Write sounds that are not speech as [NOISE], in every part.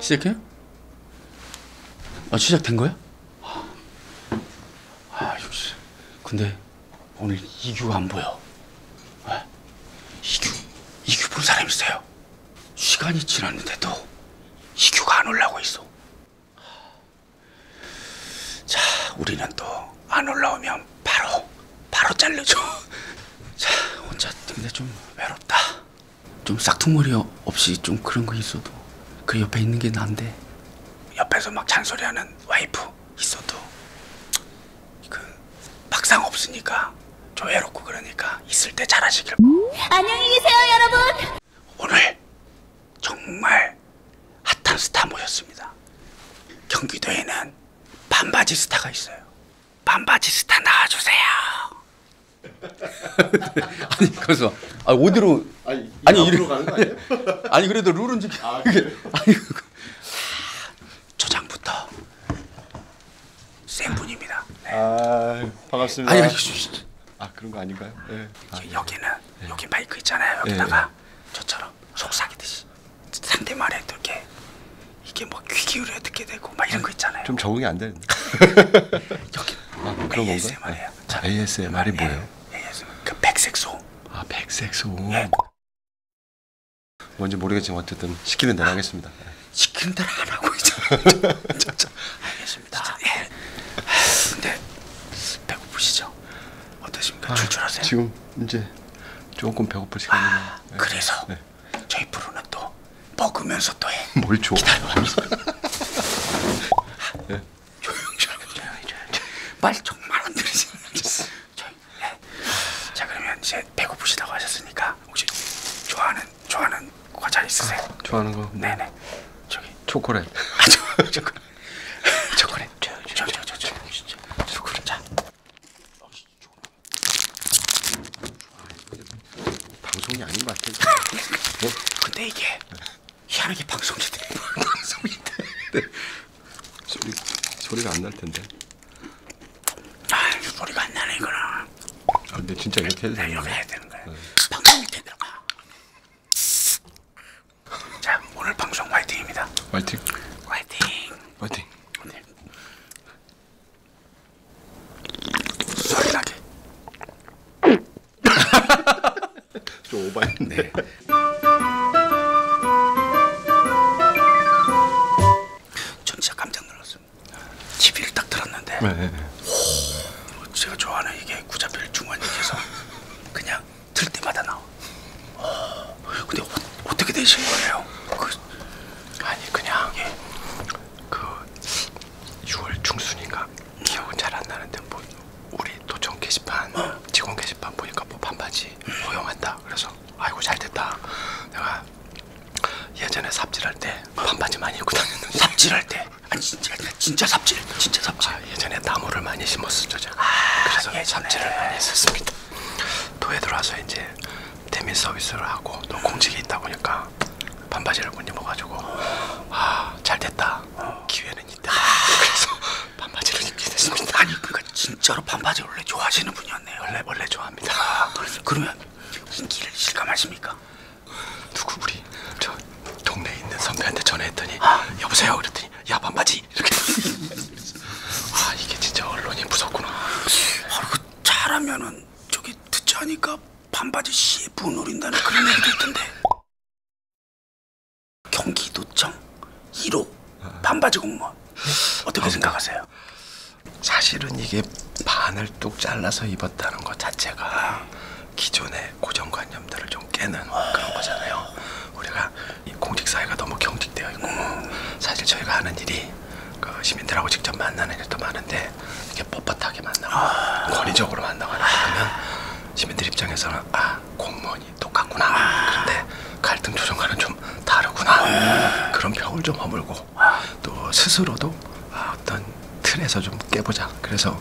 시작해? 아 시작된 거야? 아, 아 역시 근데 오늘 이규 안 보여 왜? 이규 이규 본 사람 있어요 시간이 지났는데도 희규가 안 올라오고 있어. 자, 우리는 또 안 올라오면 바로 바로 잘려줘. 자, 혼자 근데 좀 외롭다. 좀 싹퉁머리 없이 좀 그런 거 있어도 그 옆에 있는 게 난데. 옆에서 막 잔소리하는 와이프 있어도 그 막상 없으니까 조외롭고 그러니까 있을 때 잘하시길 음? 안녕히 계세요 여러분 오늘 정말 핫한 스타 모셨습니다 경기도에는 반바지 스타가 있어요 반바지 스타 나와주세요 [LAUGHS] 아니 그래서 아, 어디로 아니, 아니 이리로 가는 거 아니에요? [LAUGHS] 아니 그래도 룰은 지켜 아, 그래? 아니 아, 초장부터 센 분입니다. 네. 아 반갑습니다. 아니, 아니, 아 그런 거 아닌가요? 네. 아, 여기는 네. 여기 마이크 있잖아요. 예, 여기다가 예. 저처럼 속삭이듯이 상대 말에 이렇게 이게 뭐 귀 기울여 듣게 되고 막 이런 거 있잖아요. 좀 적응이 안 되는데. [LAUGHS] 여기 아, 그런 ASMR이에요. 아, 자, ASMR이 뭐예요? ASMR 그 백색 소음. 아 백색 소음. 예. 뭔지 모르겠지만 어쨌든 시키면 내가 아. 하겠습니다. 시킨 대로 안 하고 이제 저, 저, 알겠습니다. 예. 근데 네. 배고프시죠? 어떠십니까? 아, 출출하세요? 지금 이제 조금 배고플 시간이네요. 아, 네. 그래서 네. 저희 프로는 또 먹으면서 또 해. [LAUGHS] 뭘 줘? 기다려. [LAUGHS] 네. 조용히 조용히 조용히 조용히. 말 정말 안 들으시는 네. 네. 자 그러면 이제 배고프시다고 하셨으니까 혹시 좋아하는 좋아하는 과자 있으세요? 아, 좋아하는 거? 네네. 저기 초콜릿. 아, 저, 초콜릿. 초콜릿. 저, 저, 저, 저, 저, 저, 초콜릿. 자. 방송이 아닌 것 같아. 뭐? 근데 이게 희한하게 방송인데 방송인데 네. 소리 소리가 안 날 텐데. 아, 소리가 안 나네 이거는. 아, 근데 진짜 이렇게 해도 되는 이렇게 거야? 해야 되는 거야. 방송 밑에 들어가. 자, 오늘 방송 화이팅입니다. 화이팅 화이팅. 화이팅 오늘 소리 나게. [LAUGHS] 좀 오바했네 네. 청취자 감정 눌렀어. TV를 딱 들었는데 네, 네, 네. 오, 제가 좋아하는 이게 구자필 중원님께서 그냥 들 때마다 나와. 오, 근데 어, 떻게 되신 거예요? 그, 아니 그냥 예. 그 6월 중순인가 음. 기억은 잘 안 나는데 뭐 우리 도청 게시판 어? 직원 게시판 보니까 뭐 반바지 음. 허용한다. 그래서 아이고 잘 됐다. 내가 예전에 삽질할 때 반바지 많이 입고 다녔는데 삽질할 때 아, 진짜 진짜 삽질 진짜 삽질. 아, 예전에 나무를 많이 심었었죠 제가. 아, 그래서 예전에. 삽질을 많이 했었습니다. 도에 들어와서 이제 대민 서비스를 하고 또 음. 공직에 있다 보니까 반바지를 못 입어가지고 아 잘됐다 기회는 있다. 아. 그래서 반바지를 입게 됐습니다. 아니 그니까 진짜로 반바지 원래 좋아하시는 분이었네요. 원래 원래 좋아합니다. 아, 그러면 인기를 실감하십니까? 누구 우리 저 동네에 있는 선배한테 전화했더니 아. 여보세요 그랬더니 야 반바지 이렇게 아 [LAUGHS] 이게 진짜 언론이 무섭구나 바로 아, 그 잘하면은 저기 듣자 하니까 반바지 CF 노린다는 그런 얘기도 있던데 경기도청 1호 반바지 공무원 어떻게 아, 생각하세요? 사실은 이게 반을 뚝 잘라서 입었다는 것 자체가 기존의 고정관념들을 좀 깨는 그런 거잖아요. 우리가 공직 사회가 너무 경직되어 있고 사실 저희가 하는 일이 그 시민들하고 직접 만나는 일도 많은데 이렇게 뻣뻣하게 만나고 아 권위적으로 만나고 하면 시민들 입장에서는 아 공무원이 똑같구나 아. 그런데 갈등 조정과는 좀 다르구나 네. 그런 벽을 좀 허물고 또 스스로도 아, 어떤 틀에서 좀 깨보자. 그래서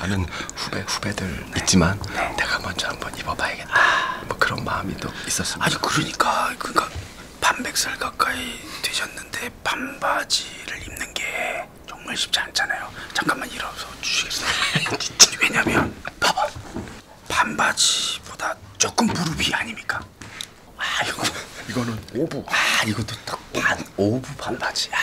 많은 후배 후배들 네. 있지만 네. 내가 먼저 한번 입어봐야겠다. 아. 뭐 그런 마음이 또 있었습니다. 아니 그러니까 그러니까 반백살 가까이 되셨는데 반바지를 입는 게 정말 쉽지 않잖아요. 잠깐만 일어서 주시겠어요? [LAUGHS] 왜냐면 봐봐 반바지보다 조금 무릎이 아닙니까? 아 이거 이거는 오부. 아 이것도 딱반 5부 반바지. 아,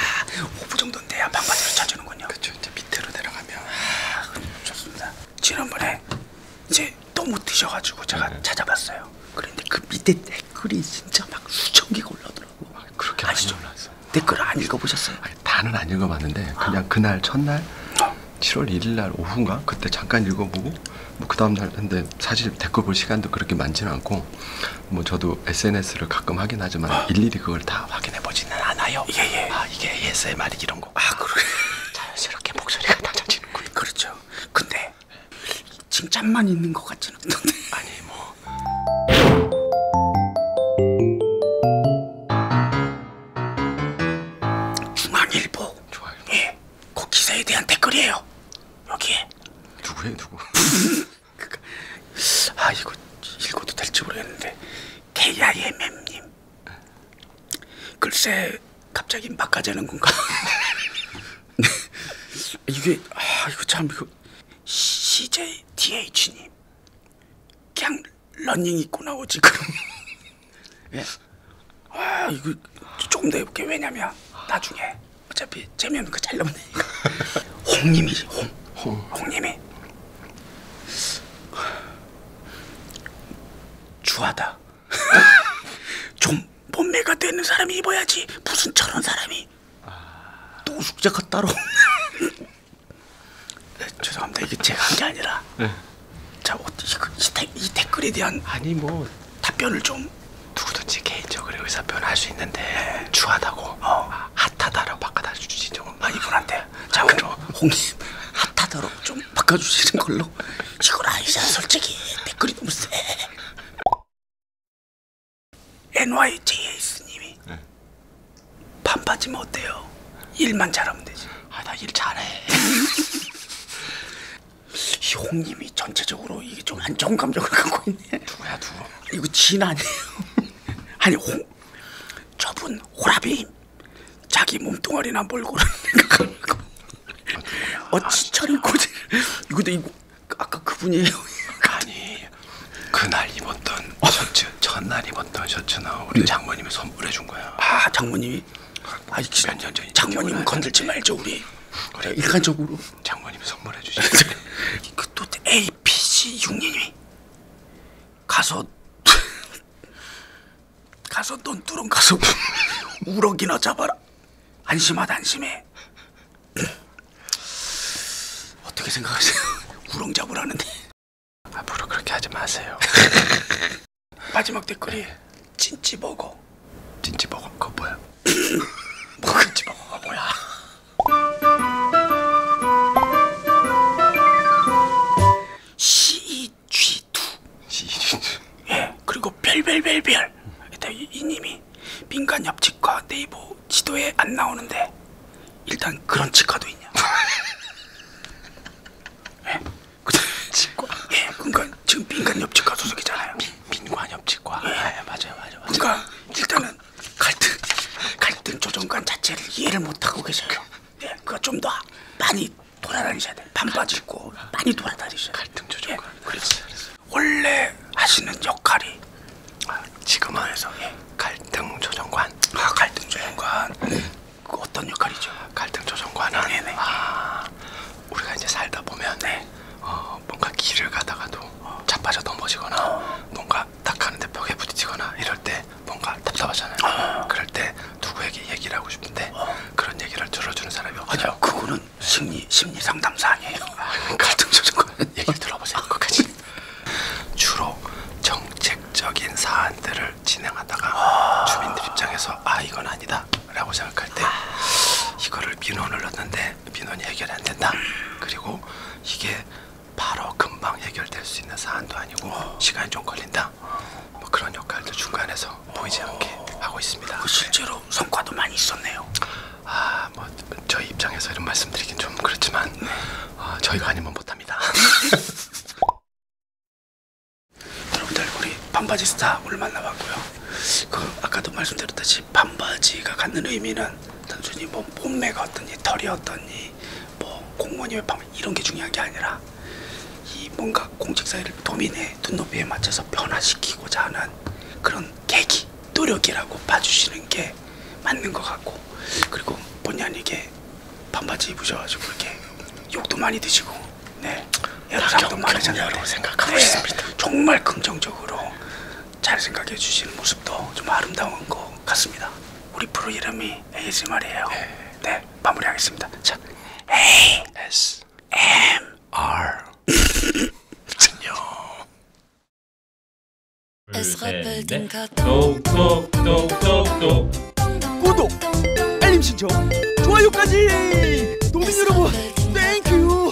5부 정도인데 야, 반바지로 쳐주는군요. 그렇죠. 이제 밑으로 내려가면 아, 좋습니다. 지난번에 이제 너무 드셔가지고 제가 네. 찾아봤어요. 그런데 그 밑에 댓글이 진짜 막 수천 개가 올라오더라고. 아, 그렇게 많이 올라왔어. 댓글 안 읽어보셨어요? 아니, 다는 안 읽어봤는데 아. 그냥 아. 그날 첫날 어. 7월 1일 날 오후인가 그때 잠깐 읽어보고 뭐 그 다음 날 근데 사실 댓글 볼 시간도 그렇게 많지는 않고 있고 뭐 저도 SNS를 가끔 하긴 하지만 아. 일일이 그걸 다 확인해 보지는 않아요. 예예. 예. 아 이게 ASMR 이런 거. 아 그러게. 자연스럽게 목소리가 낮아지는군. 그렇죠. 근데 칭찬만 있는 것 같지는 않던데. [LAUGHS] 아니 뭐. 중앙일보. 중앙일보. 예. 그 기사에 대한 댓글이에요. 여기에. 누구예요 누구? [LAUGHS] 아 이거 읽어도 될지 모르겠는데 KIMM님 글쎄 갑자기 막 가자는 건가? [LAUGHS] 네. 이게 아 이거 참 이거 CJDH님 그냥 러닝 입고 나오지 그럼 [LAUGHS] 예? 아 이거 조금 더 해볼게 왜냐면 나중에 어차피 재미없는 거 잘라면 되니까 홍님이지 홍, 홍. 홍님이 주하다 [LAUGHS] 좀 몸매가 되는 사람이 입어야지 무슨 저런 사람이 아... 또 숙제가 따로 [LAUGHS] 네, 죄송합니다 이게 제가 한 게 아니라 네. 자, 이, 어, 이, 이 댓글에 대한 아니 뭐 답변을 좀 누구든지 개인적으로 의사 표현할 수 있는데 네. 추하다고 어. 아, 핫하다라고 바꿔주신 적은 아 이분한테 자 아, 그럼 홍님 핫하다로 좀 바꿔주시는 걸로 이건 아니잖아 솔직히 댓글이 너무 세 NYJS님이 네. 반바지면 어때요? 일만 잘하면 되지 아 나 일 잘해 [LAUGHS] 이 홍님이 전체적으로 이게 좀안 좋은 감정을 갖고 있는 누구야 누구? 이거 진 아니에요? [LAUGHS] 아니 호, 저분 호라비 자기 몸뚱아리나 몰고 생각하고 아, 어찌처럼 고지 이거도 이거 아까 그분이에요. 아니 그날 입었던 셔츠 전날 입었던 셔츠나 우리 네. 장모님이 선물해 준 거야. 아 장모님이 아몇년 아, 전이 장모님 건들지 말죠 우리. 그래 그 일관적으로 장모님 선물해 주시죠. [LAUGHS] 그또 A P C 육년이 가서 [LAUGHS] 가서 넌 뚫은 가서 [LAUGHS] 우럭이나 잡아라. 안심하다 안심해. [CLEARS THROAT] 어떻게 생각하세요? 우렁 잡으라는데 앞으로 그렇게 하지 마세요. 마지막 댓글이 네. 찐찌버거. 찐찌버거 그거 뭐야? 먹을지 [COUGHS] 먹어가 뭐 아, 뭐야. CEG2. CEG2. 예. 그리고 별별별별. 일단 이, 이님이 민간 옆집과 네이버 지도에 안 나오는데 일단 그런 치과도 있냐. [LAUGHS] 예. 그다 치과. 예. 그러니까 지금 민간 옆집과 소속이잖아요. 민, 민관 옆집과. 예. 아, 예, 맞아요, 맞아요, 맞아요. 그러니까 일단은 갈등 갈등 조정관 자체를 이해를 못하고 계셔요. 네, 그거 좀 더 많이 돌아다니셔야 돼. 반바지 입고 많이 돌아다니셔야 돼. 갈등 예, 조정관. 예, 그렇지. 원래 하시는 역할이 아, 지금은 에서 예. 갈등 조정관. 아, 갈등 조정관. 네. 그 어떤 역할이죠? 갈등 조정관은 네, 네. 아, 우리가 이제 살다 보면 네. 어, 어, 뭔가 길을 가다가도 어, 자빠져 넘어지거나 어. 뭔가 딱 하는데 벽에 부딪히거나 이럴 때 뭔가 답답하잖아요. 어. 그럴 때 누구에게 얘기를 하고 싶은데 어. 그런 얘기를 들어주는 사람이 없어요. 아니요, 그거는 심리 심리 상담사 아니에요. 아, 그러니까. 갈등 조정관 얘기를 들어보세요. 끝까지 주로 정책적인 사안들을 진행하다가 주민들 입장에서 아 이건 아니다라고 생각할 때 이거를 민원을 넣는데 때문에 민원이 해결이 안 된다. 그리고 이게 바로 금방 해결될 수 있는 사안도 아니고 어. 시간이 좀 걸린다. 뭐 그런 역할도 중간에서 어. 보이지 않게 하고 있습니다. 그 실제로 네. 성과도 많이 있었네요. 아, 뭐 저희 입장에서 이런 말씀드리긴 좀 그렇지만 네. 어, 저희가 아니면 못합니다. [LAUGHS] 여러분들 우리 반바지 스타 오늘 만나봤고요. 그 아까도 말씀드렸듯이 반바지 반바지가 갖는 의미는 단순히 뭐 몸매가 어떤지 털이 어떤지 뭐 공무원이 왜 반바지 이런 게 중요한 게 아니라 이 뭔가 공직사회를 도민의 눈높이에 맞춰서 변화시키고자 하는 그런 계기 노력이라고 봐주시는 게 맞는 것 같고 그리고 본의 아니게 반바지 입으셔가지고 이렇게 욕도 많이 드시고 네 여러 사람도 많으잖아요 생각하고 네, 있습니다 정말 긍정적으로 잘 생각해 주시는 모습도 좀 아름다운 것 같습니다. 우리 프로 이름이 ASMR이에요. 네, 네 마무리하겠습니다. 자, A S M R 안녕. [LAUGHS] 똑똑똑똑똑 네. 구독, 알림 신청, 좋아요까지. 도민 여러분, 땡큐.